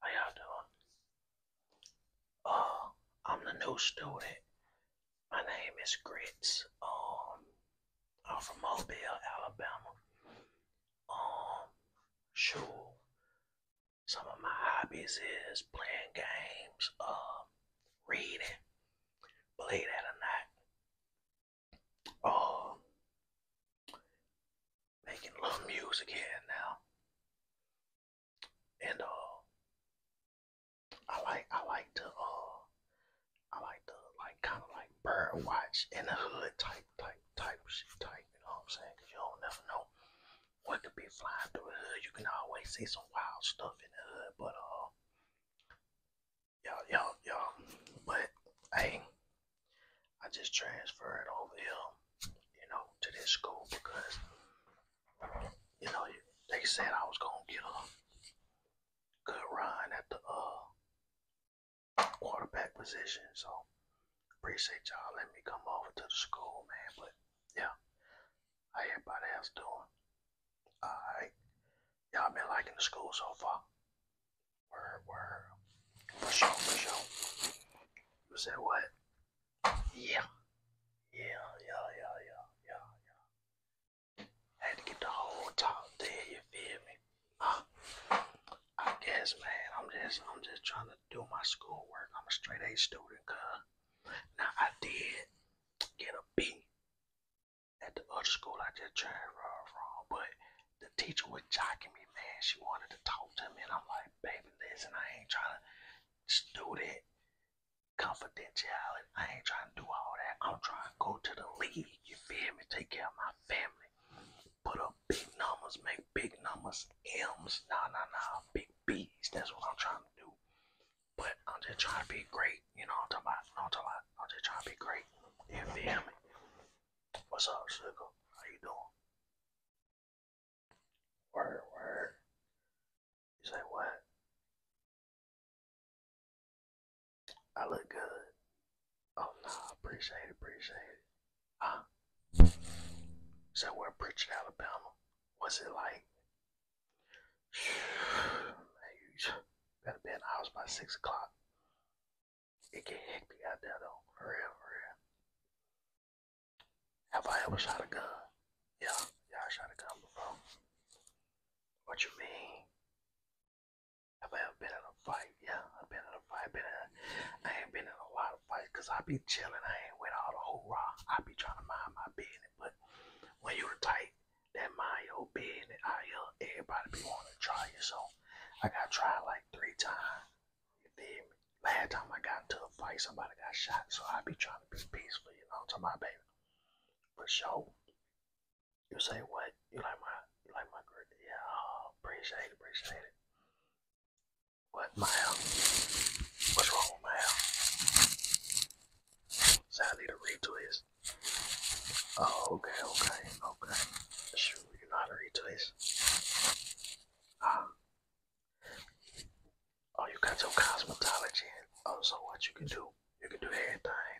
How y'all doing? Uh, I'm the new student. My name is Grits. Um, I'm from Mobile, Alabama. Um, sure. Some of my hobbies is playing games, uh, reading, believe that or not. Um, making love music here now. And uh I like I like to uh I like to like kinda like bird watch in the hood type type type shit type, you know what I'm saying? Cause you don't never know what could be flying through the hood. You can always see some wild stuff in the hood, but uh y'all y'all y'all but hey I just transferred over here, you know, to this school because, you know, they said I was gonna get a good run at the uh, quarterback position. So appreciate y'all letting me come over to the school, man. But yeah, how everybody else doing? All right, y'all been liking the school so far? Word, word. For sure, for sure. You said what? Yeah. Yeah, yeah, yeah, yeah, yeah, yeah. I had to get the whole talk there, you feel me? Huh? I guess, man, I'm just, I'm just trying to do my schoolwork. I'm a straight A student, cuz. Now, I did get a B at the other school I just transferred from, but the teacher was jocking me, man. She wanted to talk to me, and I'm like, baby, listen, I ain't trying to do that confidentiality. I ain't trying to do all that. I'm trying to go to the league, you feel me? Take care of my family. Put up big numbers, make big numbers, M's, nah, nah, nah, big B's. That's what I'm trying to do. But I'm just trying to be great, you know I'm talking about? I'm talking about? I'm just trying to be great, you feel me? What's up, Sugar? How you doing? Word, word. You say what? I look good. Oh no, appreciate it, appreciate it. Huh? So we're in Pritchard, Alabama. What's it like? gotta be in the by six o'clock. It get hectic out there though, for real, for real. Have I ever shot a gun? Yeah, yeah, I shot a gun before. What you mean? Have I ever been in a fight? Yeah, I've been in a fight. Been in a, I ain't been in a lot of fights because I be chilling. I ain't with all the hoorah. I be trying to mind my business. But when you the type that mind your business, I, uh, everybody be wanting to try you. So I got tried like three times. You feel me? Last time I got into a fight, somebody got shot, so I be trying to be peaceful, you know, to my baby. For sure. You say what? You like my you like my girl? Yeah, oh, appreciate appreciate it. What my um, what's wrong with my health? Sadly the read Oh, okay, okay, okay. Sure, you know how to read this. Ah. Oh, you got your cosmetology in. Oh, so what you can do? You can do anything.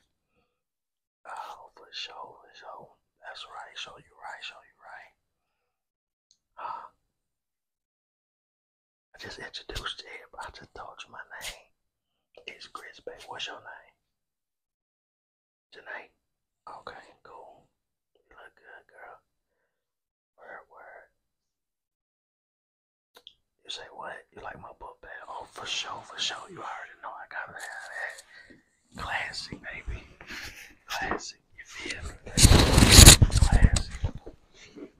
Oh, for sure, for sure. That's right. Show you right. Show you right. Ah. I just introduced you. I just told you my name. It's Chris, Beck. What's your name? Tonight? Okay, cool. You look good, girl. Word, word. You say what? You like my book bag? Oh, for sure, for sure. You already know I got that. Classic, baby. Classic. You feel me? Classic. You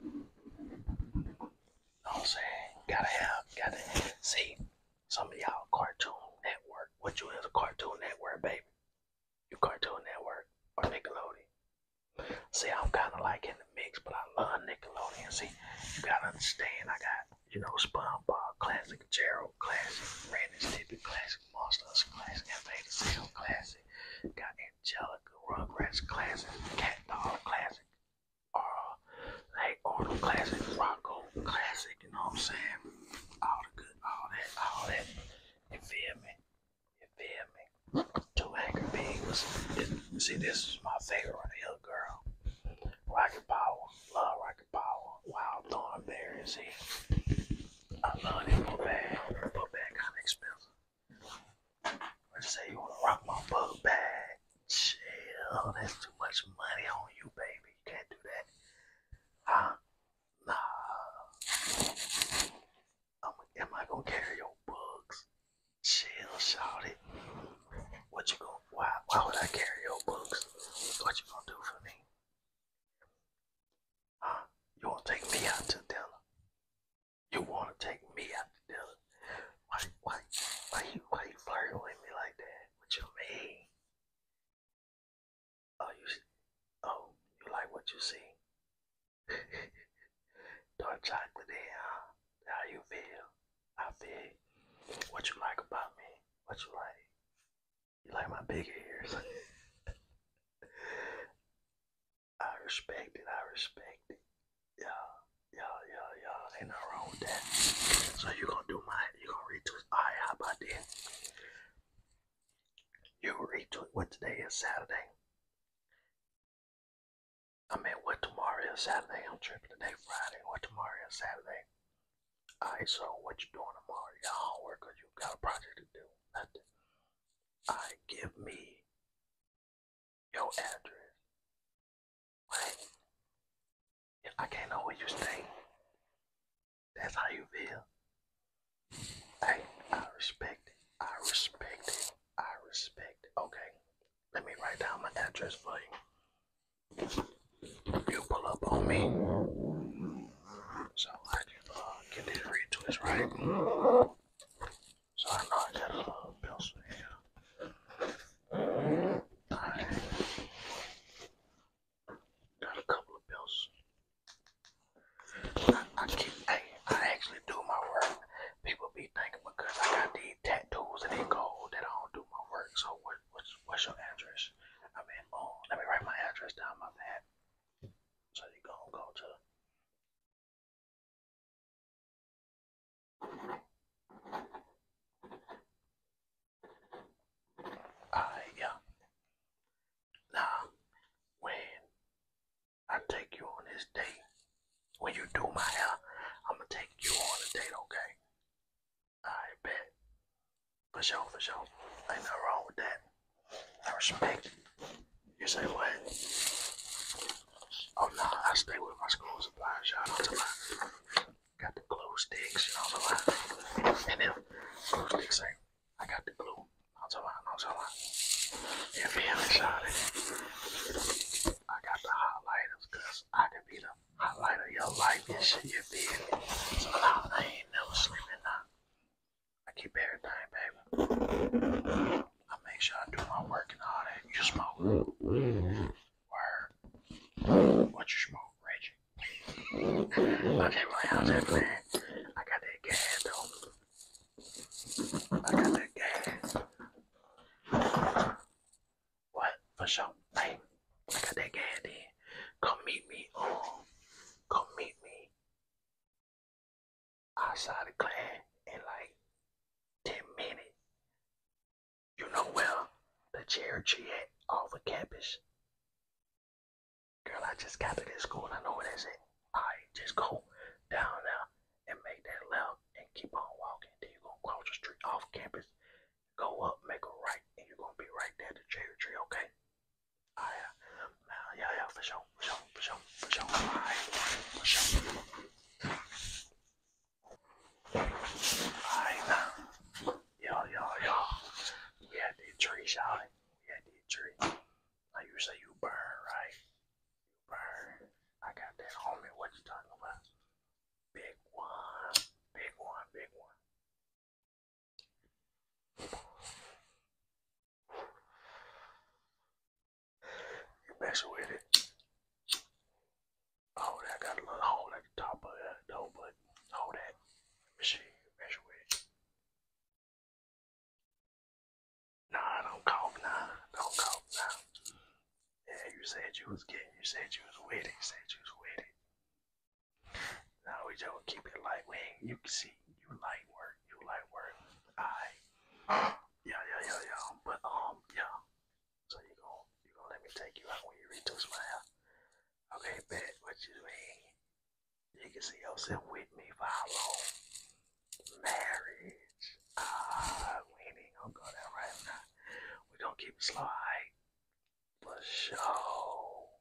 know what Gotta have, gotta see. Some of y'all Cartoon Network. What you in the Cartoon Network, baby? You Cartoon Network or Nickelodeon? See, I'm kind of like in the mix, but I love Nickelodeon. See, you gotta understand, I got you know SpongeBob, classic Gerald, classic Randy Stippy, classic Monsters, classic Invader Zim, classic. Got Angelica, Rugrats, classic Cat Dog, classic uh, like all the classic Rocco classic, you know what I'm saying? All the good, all that, all that. You feel me? You feel me? Two Angry Big see, this is my favorite right girl. Rocket Power, love Rocket Power, Wild Thornberry, I love that book bag. Book bag kind of expensive. I say you wanna rock my book bag. Chill, that's too much money on you, baby. You can't do that. Huh? Nah. I'm, am I gonna carry your books? Chill, shout it. What you gonna why why would I carry your books? What you gonna do for me? Huh? You wanna take me out to dinner? You wanna take me out to dinner? Why, why, why you, why you flirting with me like that? What you mean? Oh, you, oh, you like what you see? Dark chocolate, there, huh? How you feel? I feel. What you like about me? What you like? You like my big ears? I respect it. I respect it. Yeah, yeah, yeah, yeah. Ain't no wrong with that. So you gonna do mine? You gonna retweet? All right, how about this? You retweet what today is Saturday. I mean, what tomorrow is Saturday? I'm tripping today, Friday. What tomorrow is Saturday? All right, so what you doing tomorrow? You got homework or you got a project to do? Nothing. All right, give me your address. Wait. I can't know where you stay, that's how you feel. Hey, I respect it. I respect it. I respect it. Okay, let me write down my address for you. You pull up on me. So I can uh, get this retwist right. Sorry, no, I got a little pills. I got a couple of pills. I, I actually do my work. People be thinking because I got these tattoos and they gold that I don't do my work. So what's, what's your address? I mean, oh, let me write my address down my pad. So you going go to I am now when I take you on this date, when you do my hair, I'm gonna take you on a date, okay? I bet. For sure, for sure. Ain't nothing wrong with that. I respect you say what? Oh no, nah, I stay with my school supplies, y'all don't lie. Got the glue sticks, y'all don't lie. And if glue sticks ain't I got the glue. I'll tell you, I'll tell you. If you haven't shot it, I got the highlighters because I could be the highlight of your life and shit, you feel me? So now I ain't never sleeping now. I keep everything, baby. I make sure I do my work and all that. You smoke. Word. What you smoke, Reggie? okay, well, how's that, man? I got that gas, though. I got that gas. What? For sure. Hey, I got that gas, then. Come meet me. Oh, come meet me outside the clan in like 10 minutes. You know where the cherry tree at off the campus? Girl, I just got to this school. I know that's it. Alright, just go down there and make that left and keep on walking. Then you're going to cross the street off campus, go up, make a right, and you're going to be right there the cherry tree, okay? I, uh, yeah, yeah, for sure, for sure, for sure, for sure, I, for sure. I know. Yeah, yeah, yeah. We had the tree, Sally. We had the tree. Now you say you burn, right? You burn. I got that homie. What you talking about? Big one. Big one, big one. You with it. Oh, that got a little hole at the top of it though, but hold that. Let me see. Mess with it. Nah, don't cough now. Don't cough now. Yeah, you said you was getting. You said you was with said you was with now we don't keep it light wing. You can see you light work, you light work. I yeah, yeah, yeah, yeah. But um yeah. So you going you going let me take you out when you reach those smile. Okay, bet what you mean. You can see I'm yourself with me for how long? Marriage. Ah, we ain't going go there right now. We going keep it slow, alright? For sure.